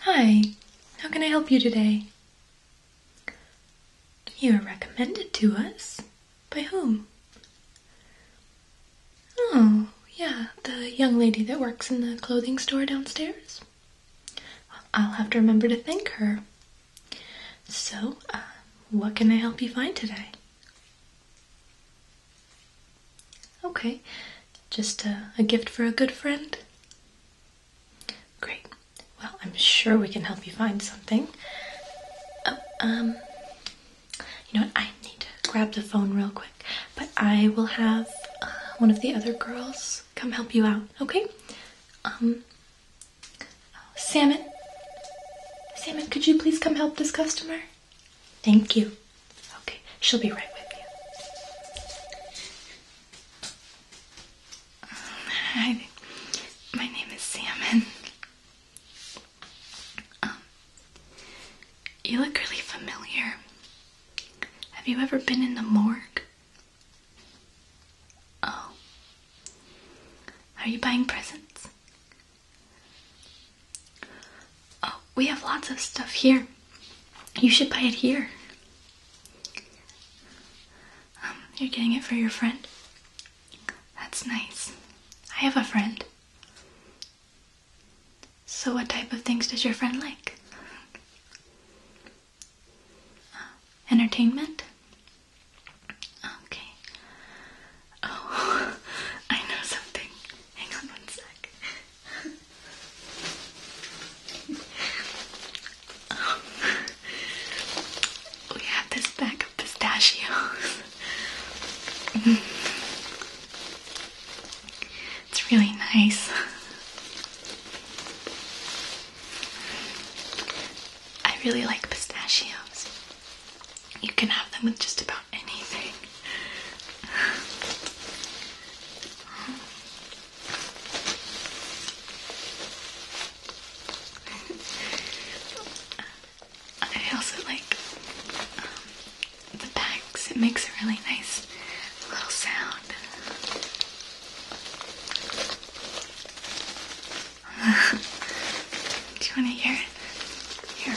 Hi, how can I help you today? You are recommended to us? By whom? Oh, yeah, the young lady that works in the clothing store downstairs. I'll have to remember to thank her. So, uh, what can I help you find today? Okay, just uh, a, gift for a good friend? Great. Well, I'm sure we can help you find something. Oh, um, you know what? I need to grab the phone real quick, but I will have uh, one of the other girls come help you out, okay? Um, Salmon, Salmon, could you please come help this customer? Thank you. Okay, she'll be right with you. Um, hi, my name is Salmon. Um, you look really familiar. Have you ever been in the morgue? Oh. Are you buying presents? Oh, we have lots of stuff here. You should buy it here. Um, you're getting it for your friend? That's nice. I have a friend. So, what type of things does your friend like? entertainment? Okay. Oh, I know something. Hang on one sec. we have this bag of pistachios. it's really nice. I really like pistachios. You can have them with just about anything. I also like um, the packs, it makes a really nice little sound. Do you want to hear it? Here.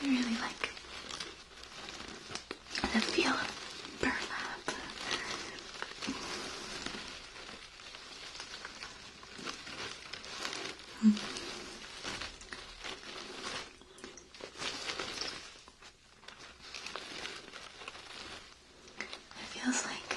I really like the feel of burlap. Hmm. It feels like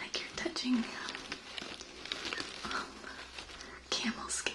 like you're touching camel skin.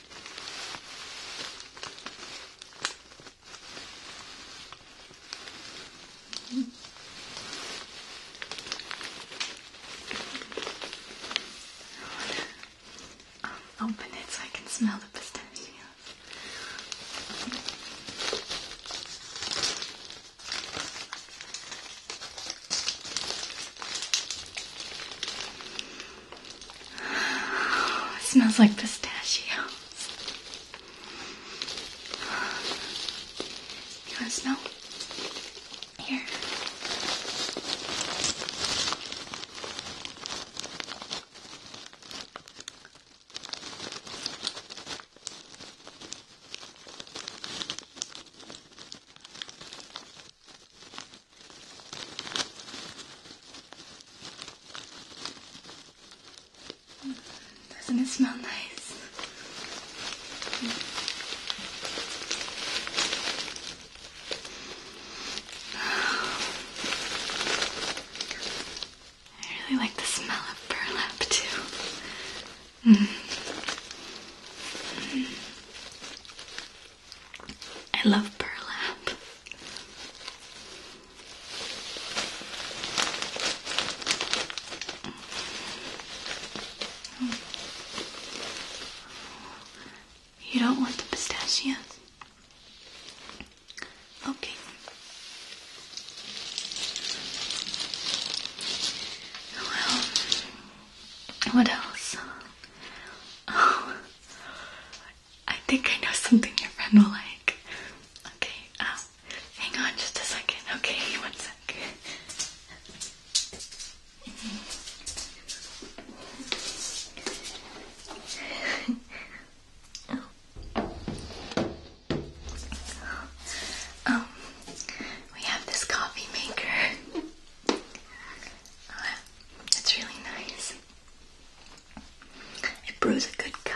Mm -hmm. i open it so I can smell the pistachios smells like pistachios. You want smell? Here. Doesn't it smell nice? I really like the smell of burlap too. Mm. Mm. I love burlap. You don't want the pistachios? Okay. Well, what else? Oh, I think I know something your friend will like. Okay, um, hang on just a second. Okay, one second. um, we have this coffee maker. Uh, it's really nice. It brews a good cup.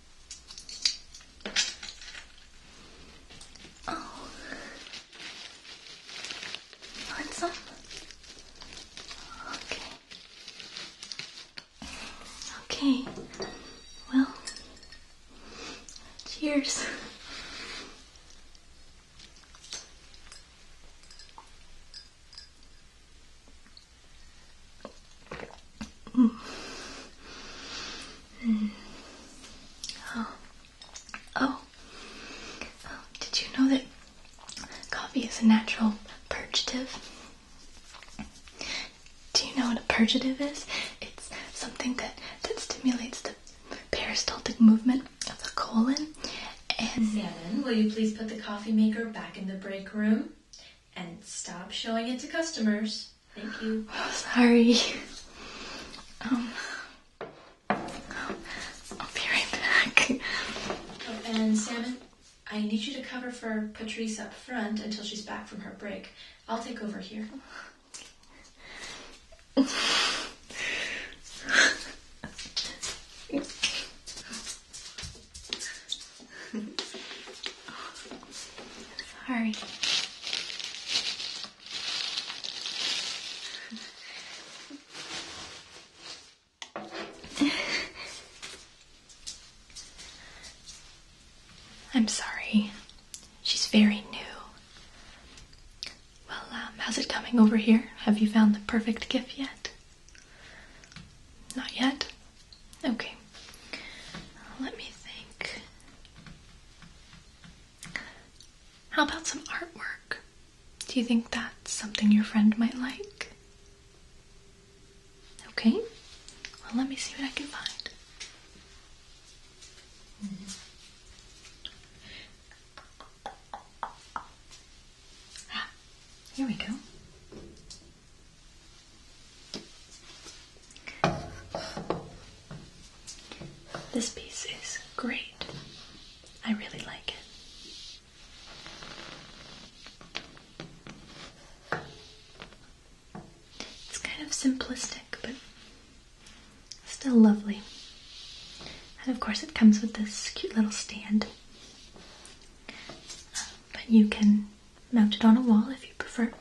Oh. You want Okay. Okay. Well, cheers. Oh. oh, Did you know that coffee is a natural purgative? Do you know what a purgative is? It's something that that stimulates the peristaltic movement of the colon. And Shannon, will you please put the coffee maker back in the break room and stop showing it to customers? Oh, sorry. Um, I'll be right back. Oh, and Salmon, I need you to cover for Patrice up front until she's back from her break. I'll take over here. sorry. I'm sorry. She's very new. Well, um, how's it coming over here? Have you found the perfect gift yet? Not yet? Okay. Let me think. How about some artwork? Do you think that's something your friend might like? Okay, well, let me see what I can find. Ah, here we go. This piece is great. I really like it. It's kind of simplistic, but still lovely. And of course, it comes with this cute little stand. But you can mount it on a wall if you prefer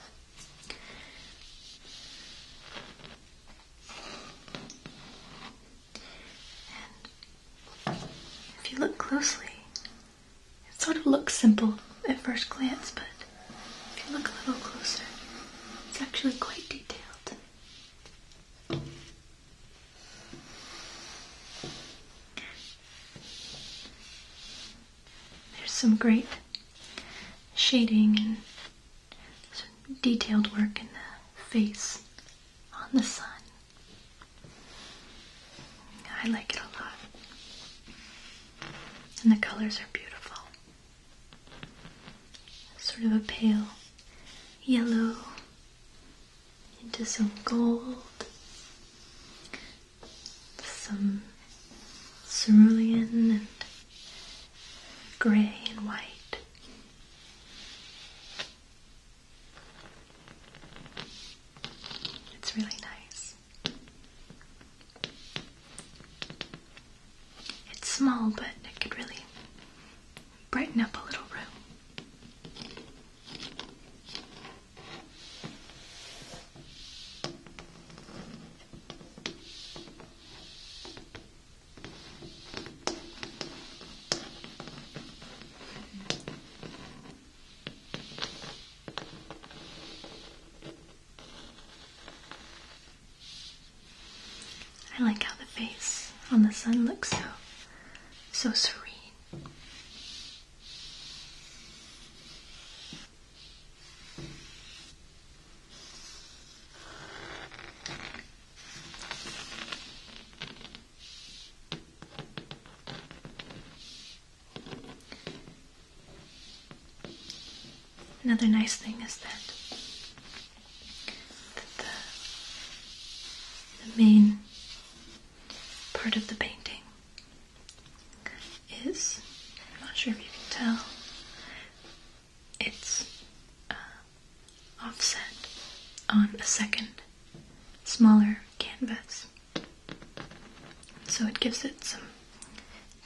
if you look closely, it sort of looks simple at first glance, but if you look a little closer, it's actually quite detailed. There's some great shading and some detailed work in the face on the sun. I like it a lot. And the colors are beautiful. Sort of a pale yellow into some gold, some cerulean and grey and white. It's really nice. It's small, but it could really brighten up a little room. I like how the face on the sun looks so so serene. Another nice thing is that, the main part of the painting is, I'm not sure if you can tell, it's uh, offset on a second smaller canvas. So it gives it some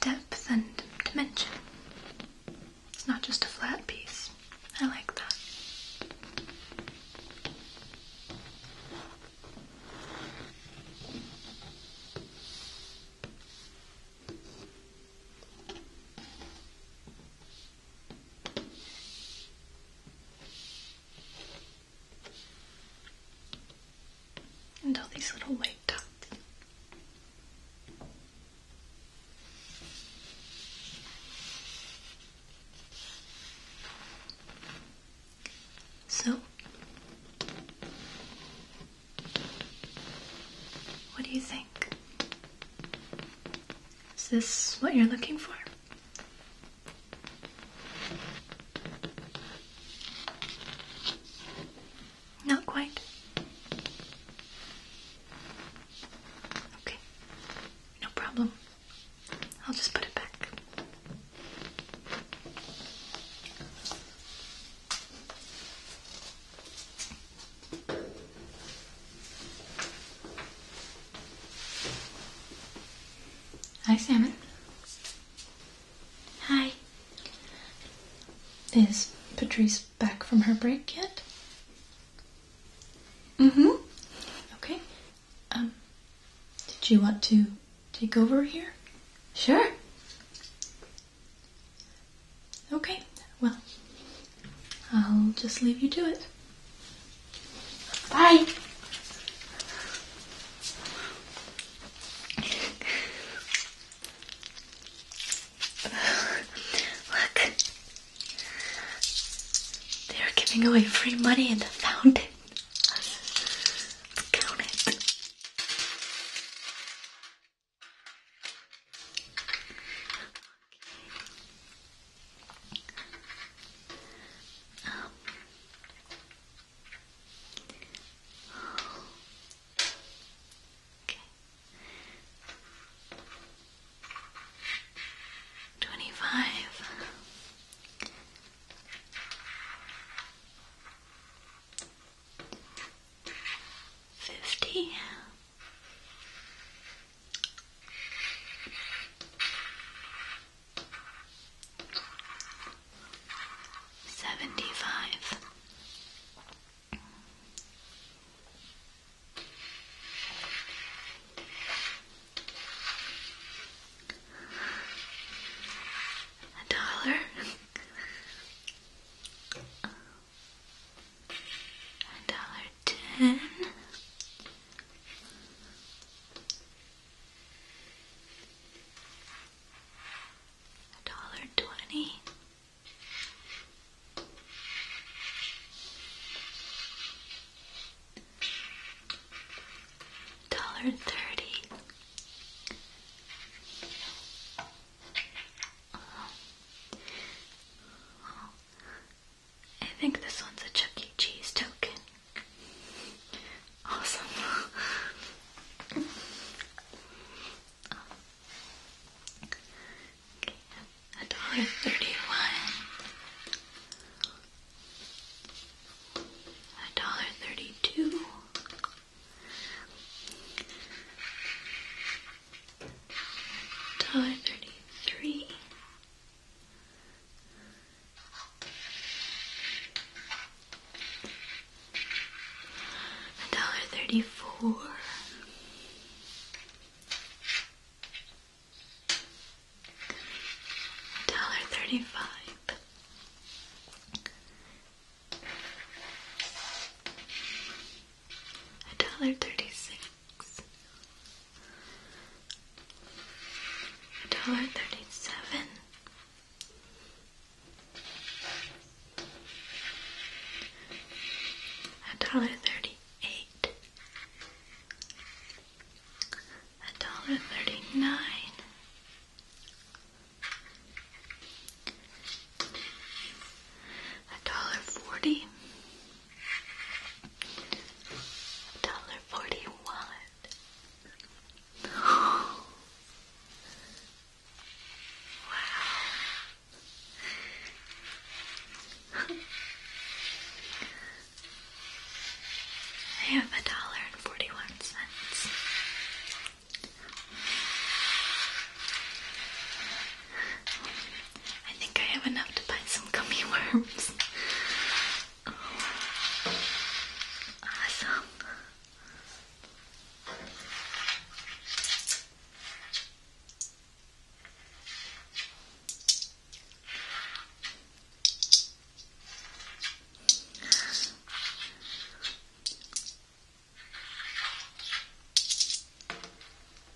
depth and dimension. It's not just a flat piece. I like that. And all these little white dots. So what do you think? Is this what you're looking for? Not quite. Okay, no problem. I'll just put it back. Hi, Salmon. Hi. Is Patrice back from her break yet? Mm-hmm. Okay. Um, did you want to take over here? Sure. Okay, well, I'll just leave you to it. Bye! Look, they're giving away free money in the fountain. count it. Okay. Twenty Seventy-five. A dollar. a dollar ten. A dollar twenty. Dollar thirty, I think this one's a Chuck E. Cheese token. Awesome. oh. A dollar thirty-one. A dollar thirty-two. Tie 33. A dollar thirty four. dollar thirty five a dollar thirty six, a dollar thirty seven, a dollar thirty eight, a dollar thirty nine a dollar forty, a dollar forty one. wow. I have a dollar and forty one cents. I think I have enough to buy some gummy worms. Awesome.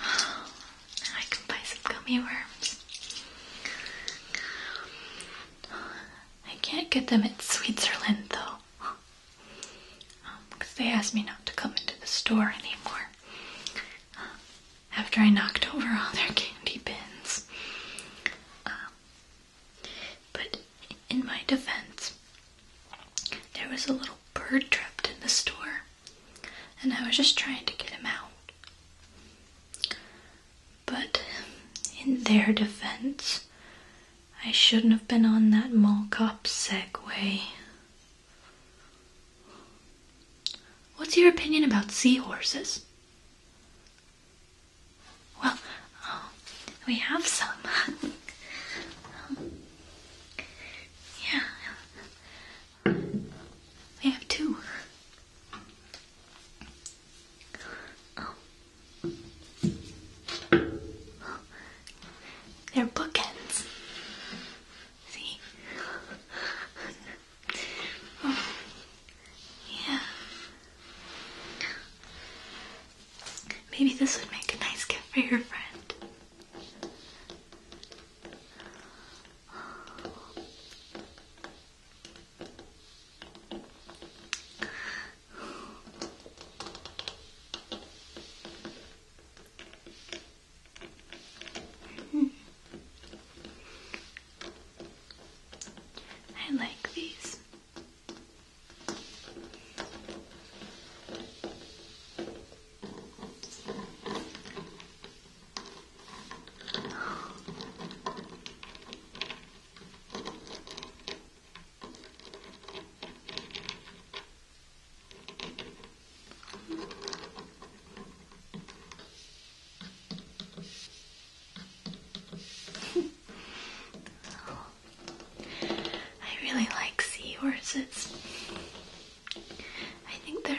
I can buy some gummy worms. I can't get them at Switzerland though, because um, they asked me not to come into the store anymore after I knocked over all their candy bins. Um, but in my defense, there was a little bird trapped in the store and I was just trying to get him out. But in their defense, I shouldn't have been on that mall cop Segway. What's your opinion about seahorses? Well, um, we have some. yeah, we have two. They're bookends. See? Yeah. Maybe this would make a nice gift for your friend. I like these. I really like seahorses. I think they're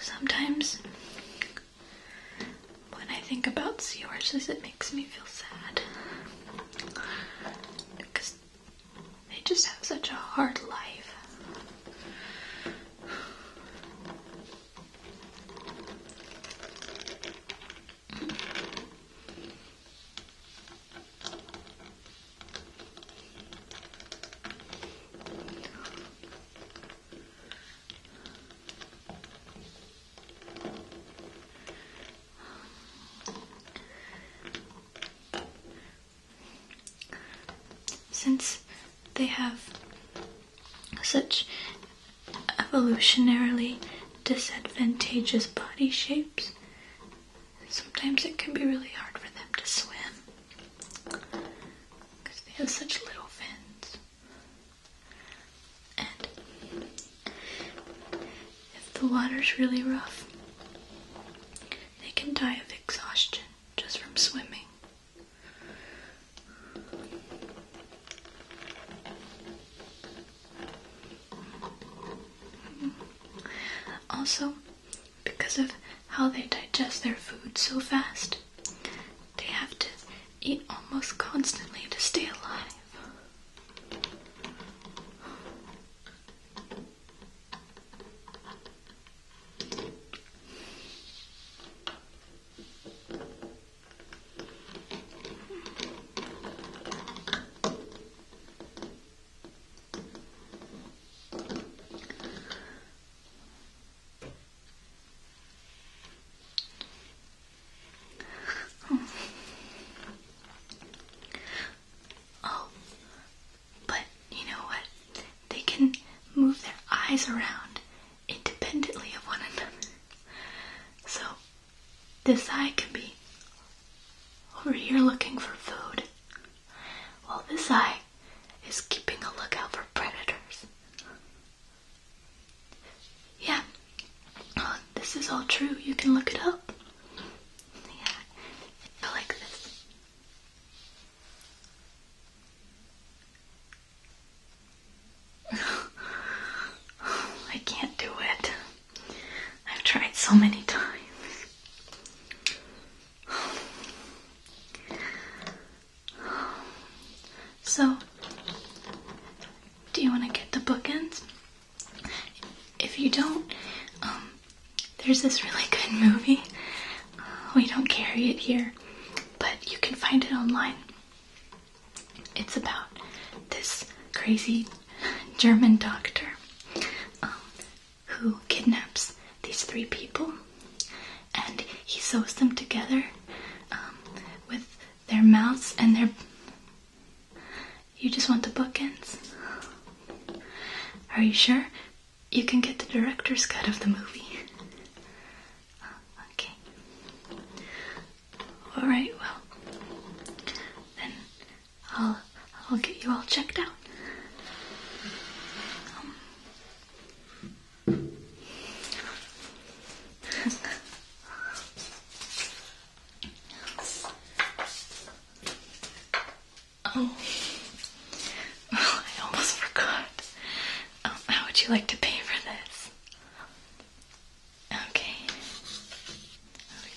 Sometimes, when I think about sea horses, it makes me feel sad. Because they just have such a hard life. Since they have such evolutionarily disadvantageous body shapes, sometimes it can be really hard for them to swim because they have such little fins. And if the water's really rough, they can die of exhaustion just from swimming. Also, because of how they digest their food so fast, they have to eat almost constantly to stay alive. Oh. oh. but you know what? They can move their eyes around independently of one another. So, this eye can be over here looking for food, while this eye is keeping a lookout for predators. Yeah, uh, this is all true. You can look it up. Yeah, I like this. I can't do it. I've tried so many times. So, do you want to get the bookends? If you don't, um, there's this really good movie we don't carry it here, but you can find it online. It's about this crazy German doctor um, who kidnaps these three people and he sews them together um, with their mouths and their. You just want the bookends? Are you sure? You can get the director's cut of the movie. Ah, okay. All right. Well, then I'll I'll get you all checked out. oh. I almost forgot. Um, how would you like to pay for this? Okay.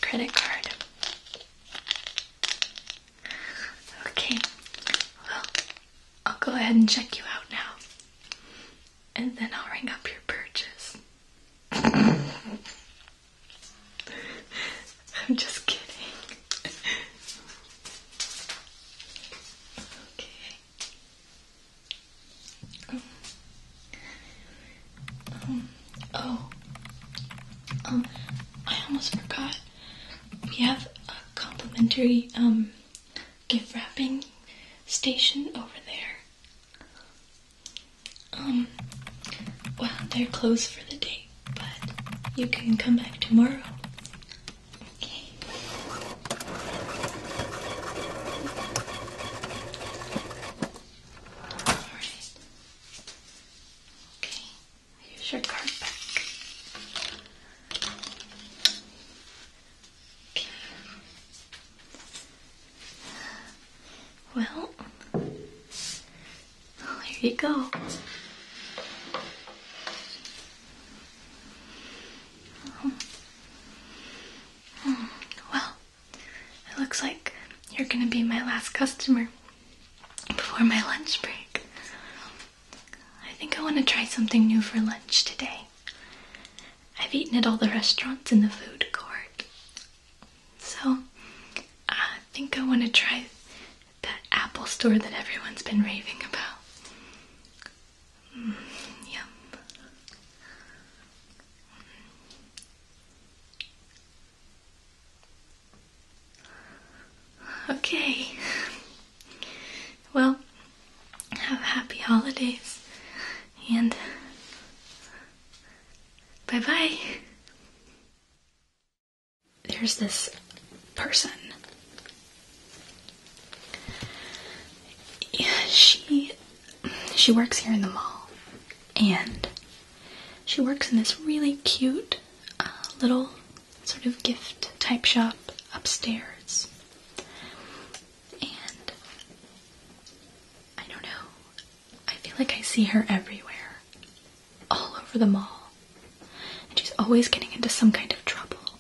Credit card. Okay. Well, I'll go ahead and check you out now. And then I'll ring up your purchase. I'm just kidding. Okay. Um, um, oh. Um, I almost forgot. We have a complimentary, um, gift wrapping station over there. Um, well, they're closed for the day, but you can come back tomorrow. Okay. All right. Okay. Here's your card back. Okay. well, here you go. Well, it looks like you're gonna be my last customer before my lunch break. I think I want to try something new for lunch today. I've eaten at all the restaurants in the food court. So, I think I want to try that Apple store that everyone's been raving about. Mm, Okay. Well, have happy holidays and bye bye. There's this person she she works here in the mall, and she works in this really cute uh, little sort of gift type shop upstairs. And I don't know, I feel like I see her everywhere, all over the mall, and she's always getting into some kind of trouble.